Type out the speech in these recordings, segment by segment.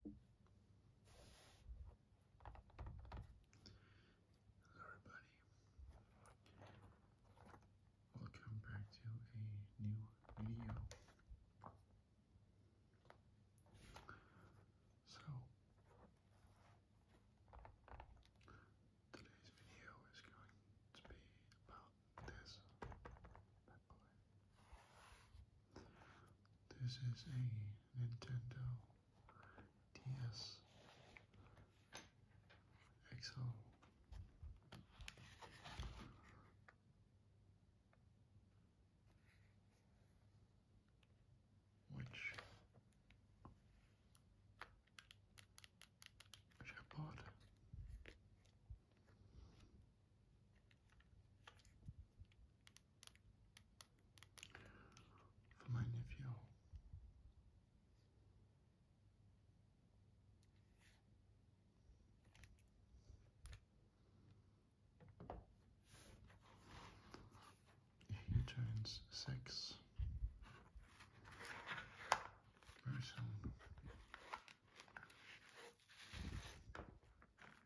Hello everybody. Welcome back to a new video. So Today's video is going to be about this this is a Nintendo DS XL. Which, which for my nephew. He turns six very soon.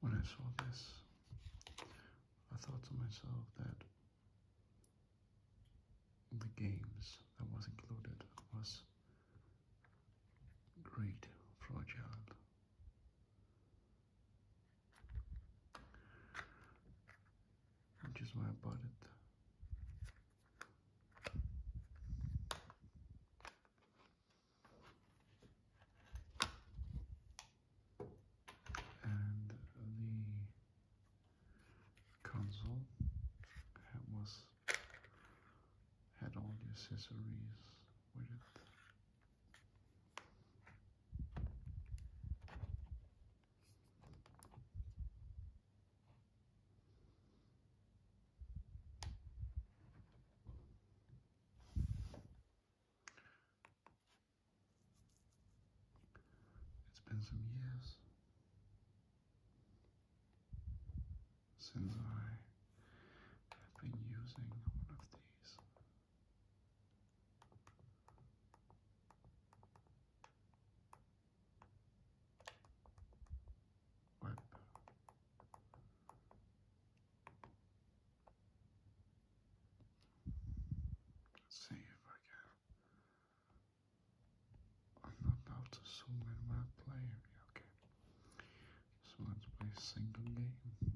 When I saw this, I thought to myself that the games that was included was great for a child which is why I bought it. And the console was had all the accessories with it. It's been some years since I have been using one of these Let's see if I can. I'm about to zoom my player. Okay. So let's play a single game.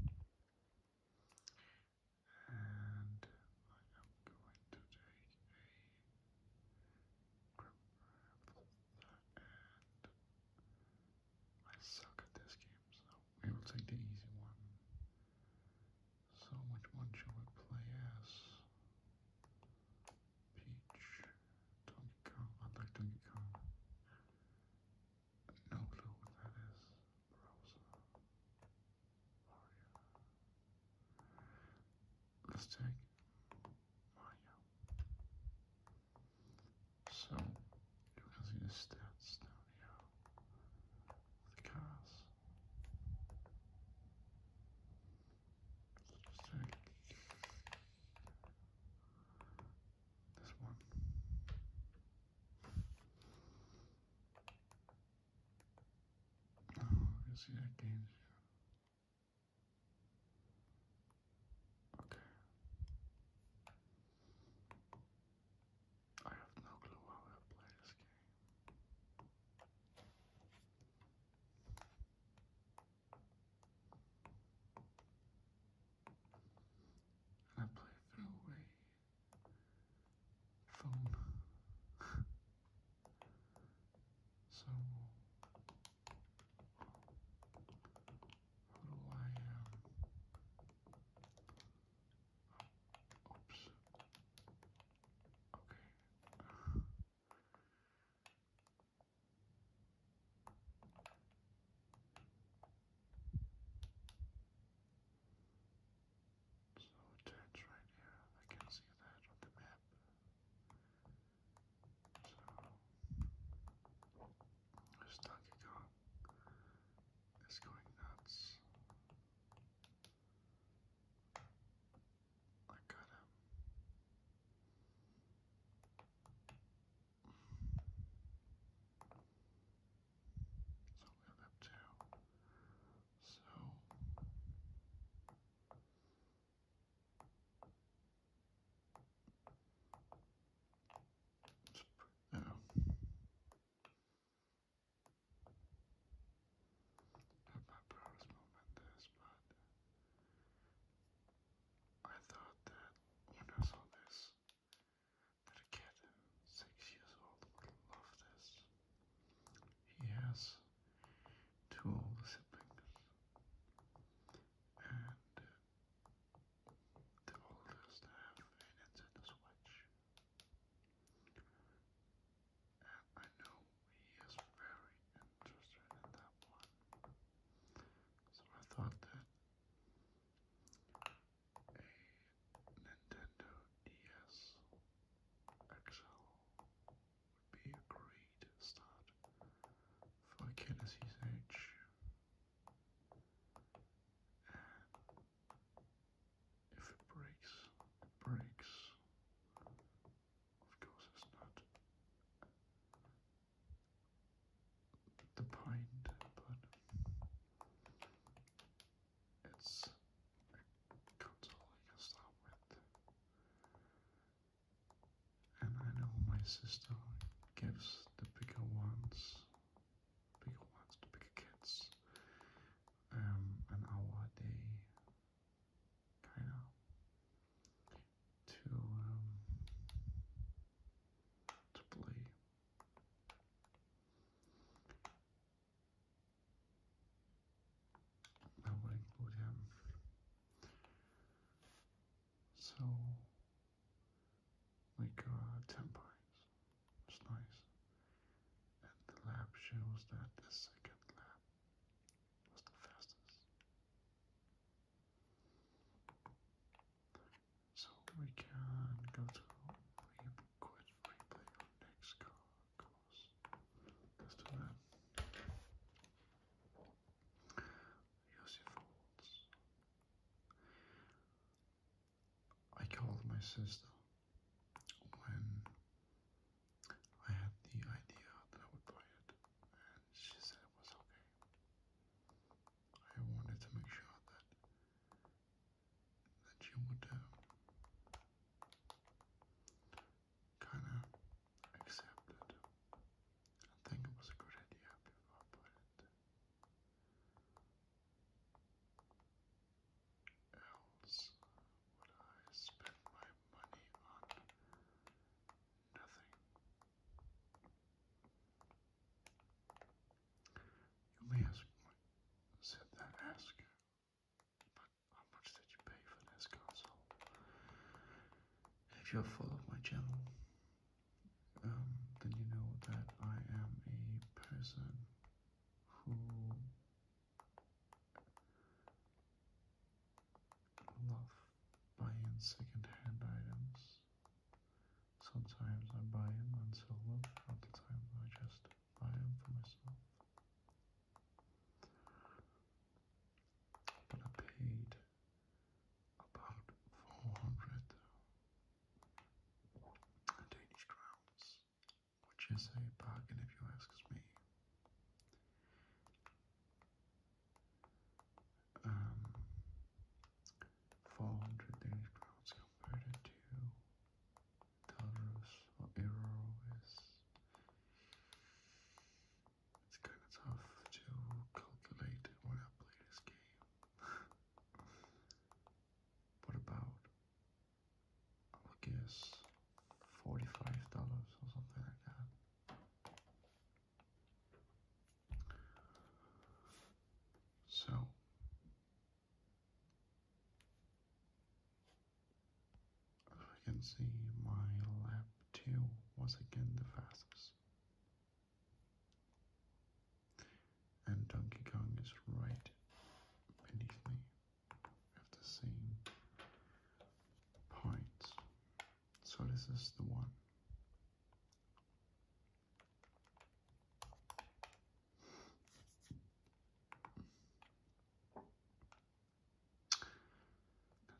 And I am going to take a grab and I suck at this game, so we will take the easy one. So which one shall we play as? Peach, Donkey Kong, I like Donkey Kong. No clue what that is. Let's check. Oh, So, you can see the stats down The cars. Let's check. This one. Oh, I see that game. Okay. I have no clue how I play this game. I play a throwaway phone. so how do I um oops. Okay. So it right here. I can see that on the map. So this Donkey Kong is going nuts. I got him. So we have up two. So let Not my proudest moment this, but I thought that when I saw this, a kid six years old would love this. He has two older siblings, and uh, the oldest have a Nintendo Switch. And I know he is very interested in that one, so I thought that a Nintendo DS XL would be a great start for Genesis Edge. And if it breaks, breaks. Of course, it's not the point, but it's a console I can start with. And I know my sister gives the bigger ones, bigger ones, the bigger kids, um, an hour a day, kind of, to um, to play. I will include him. So, like uh, Tempines, it's nice. And the lap shows that the second lap was the fastest. So we can go through quit replay on next car course. Let's do your faults. I called my sister when I had the idea that I would buy it, and she said it was okay. I wanted to make sure that that you would uh, kind of accept it. I think it was a good idea before I Else would I spend my money on nothing? You may ask, said that ask, how much did you pay for this console? If you follow my channel, um, then you know that I am a person who love buying second-hand items Sometimes I buy them and sell them, other times I just buy them for myself. But I paid about 400 uh, Danish crowns, which is a bargain if you ask me um, 400 crowns compared to dollars or euro it's kind of tough to calculate when I play this game. what about I guess $45 or something like that. So I can see my lap two was again the fastest. And Donkey Kong is right beneath me at the same point. So this is the one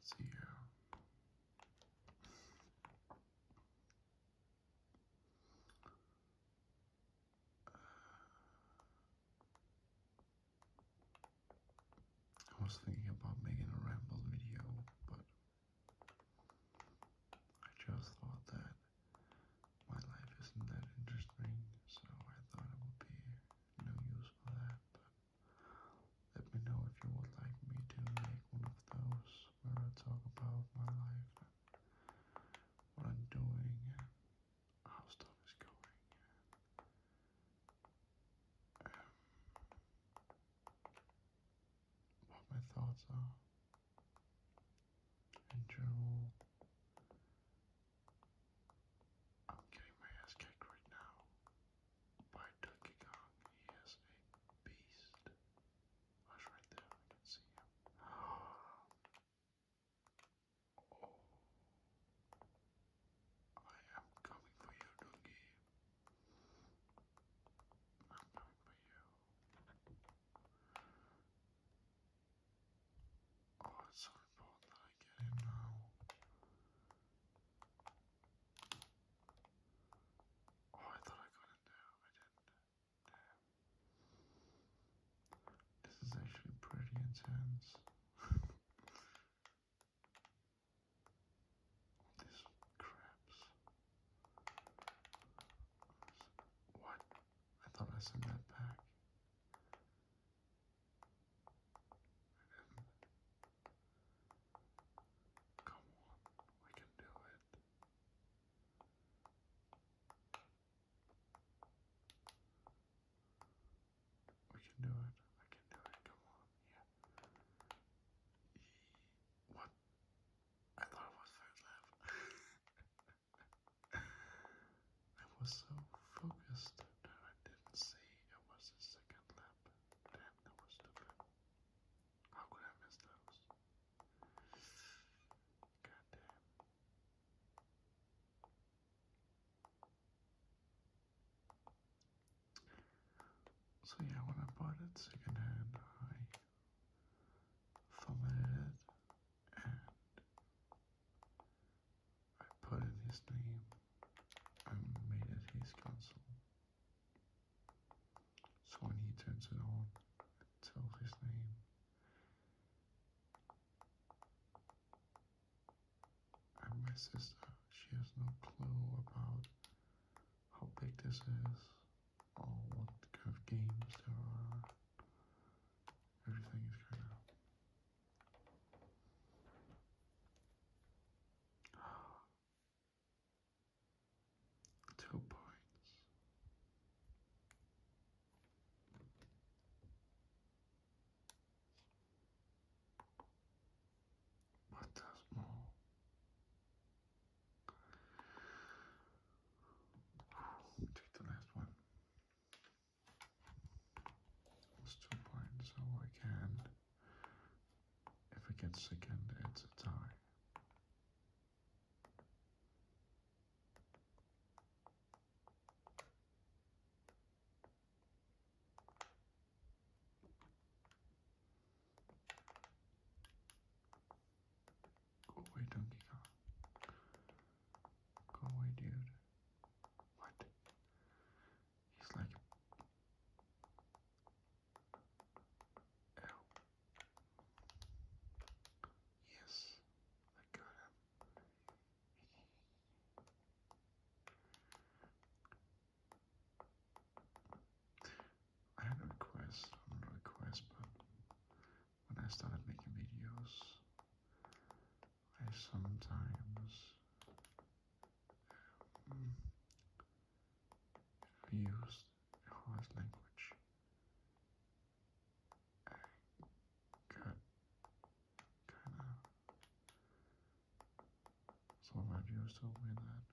see here. I was thinking about making a ramble video, but I just thought that my life isn't that interesting, so I thought it would be no use for that. But let me know if you would like me to make one of those where I talk about my life and what I'm doing and how stuff is going. And, um, what my thoughts are. Internal. I'm getting my ass kicked right now by Donkey Kong. He is a beast. Hush right there, I can see him. Oh. I am coming for you, Doogie. I'm coming for you. Oh, it's so important that I get it now. Oh, I thought I got it I didn't. Damn. Oh, this is actually pretty intense. these crabs. What? I thought I sent that back. I didn't. Come on, we can do it. We can do it. I can do it. Come on. Yeah. What I thought it was third left. I was so focused that I didn't see it was the second lap. Damn, that was stupid. How could I miss those? God So yeah, when I bought it secondhand, I formatted and I put in his name and made it his console. So when he turns it on, it tells his name. And my sister, she has no clue about how big this is all oh, what kind of games there are. Everything is kind of. Two points. But there's more. Take the last one. It's two points, so oh, I can. If it gets second, it's a tie. Go away, Donkey Kong. Go away, dude. What? He's like. Ow. Yes, I got him. I had a request, not a request, but when I started making videos, I sometimes um, used harsh language. I got kind of some of my viewers told me that.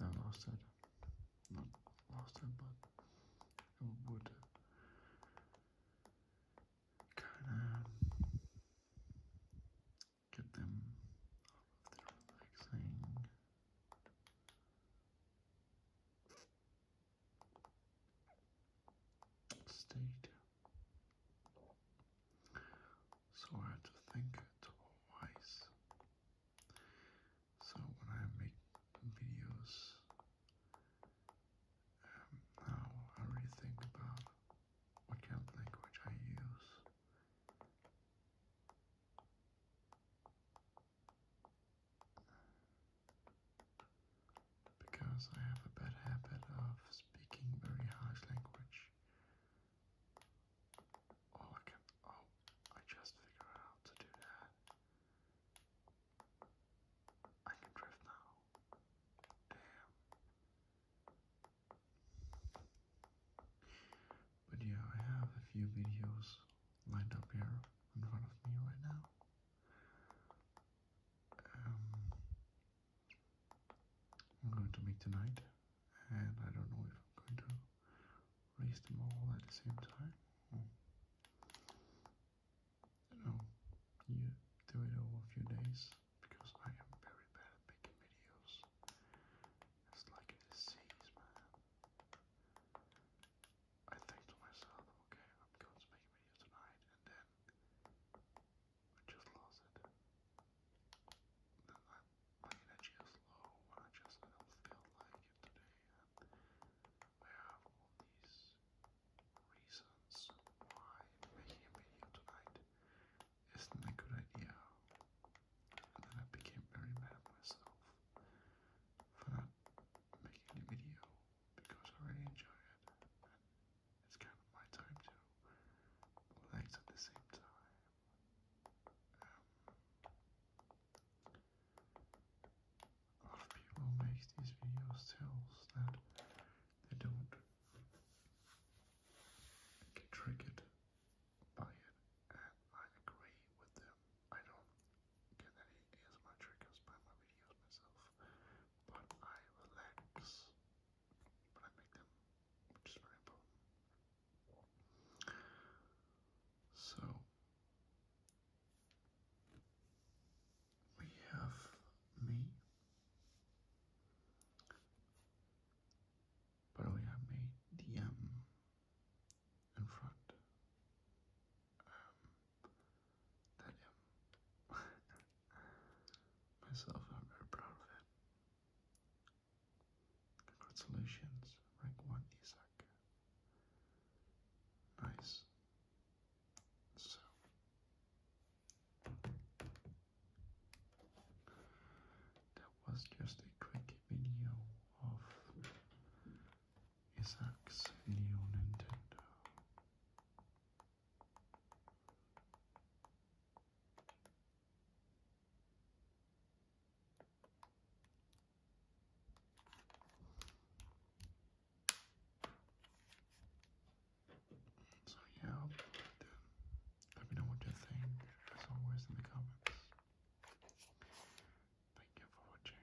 I lost it. Not lost it, but would kind of get them off of relaxing. State. So I had to think twice so when I make videos um, now, I really think about what kind of language I use. Because I have a bad habit of speaking very harsh language, Oh, I can. Oh, I just figured out to do that. I can drift now. Damn. But yeah, I have a few videos lined up here in front of me right now. Um, I'm going to meet tonight and I don't know if I'm going to raise them all at the same time. you hmm. know, you do it over a few days because I am very bad at making videos. It's like a disease, man. I think to myself, okay, I'm going to make a video tonight, and then I just lost it. I'm energy is low I just don't feel like it today. And I have all these reasons why making a video tonight isn't a good idea. And then I became very mad myself for not making a video because I really enjoy it. it's kind of my time to relax at the same time a lot of people make these videos tells that they don't get triggered by it, and I agree with them. I don't get any ASMR triggers by my videos myself, but I relax, but I make them, which is very important. So we have me, but we have me the M in front. Um, Myself, I'm very proud of it. Congratulations, rank 1 Isaac. Nice. So. That was just a quick video of Isaac's new Nintendo. So yeah, Let me know what you think, as always, in the comments. Thank you for watching.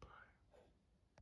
Bye.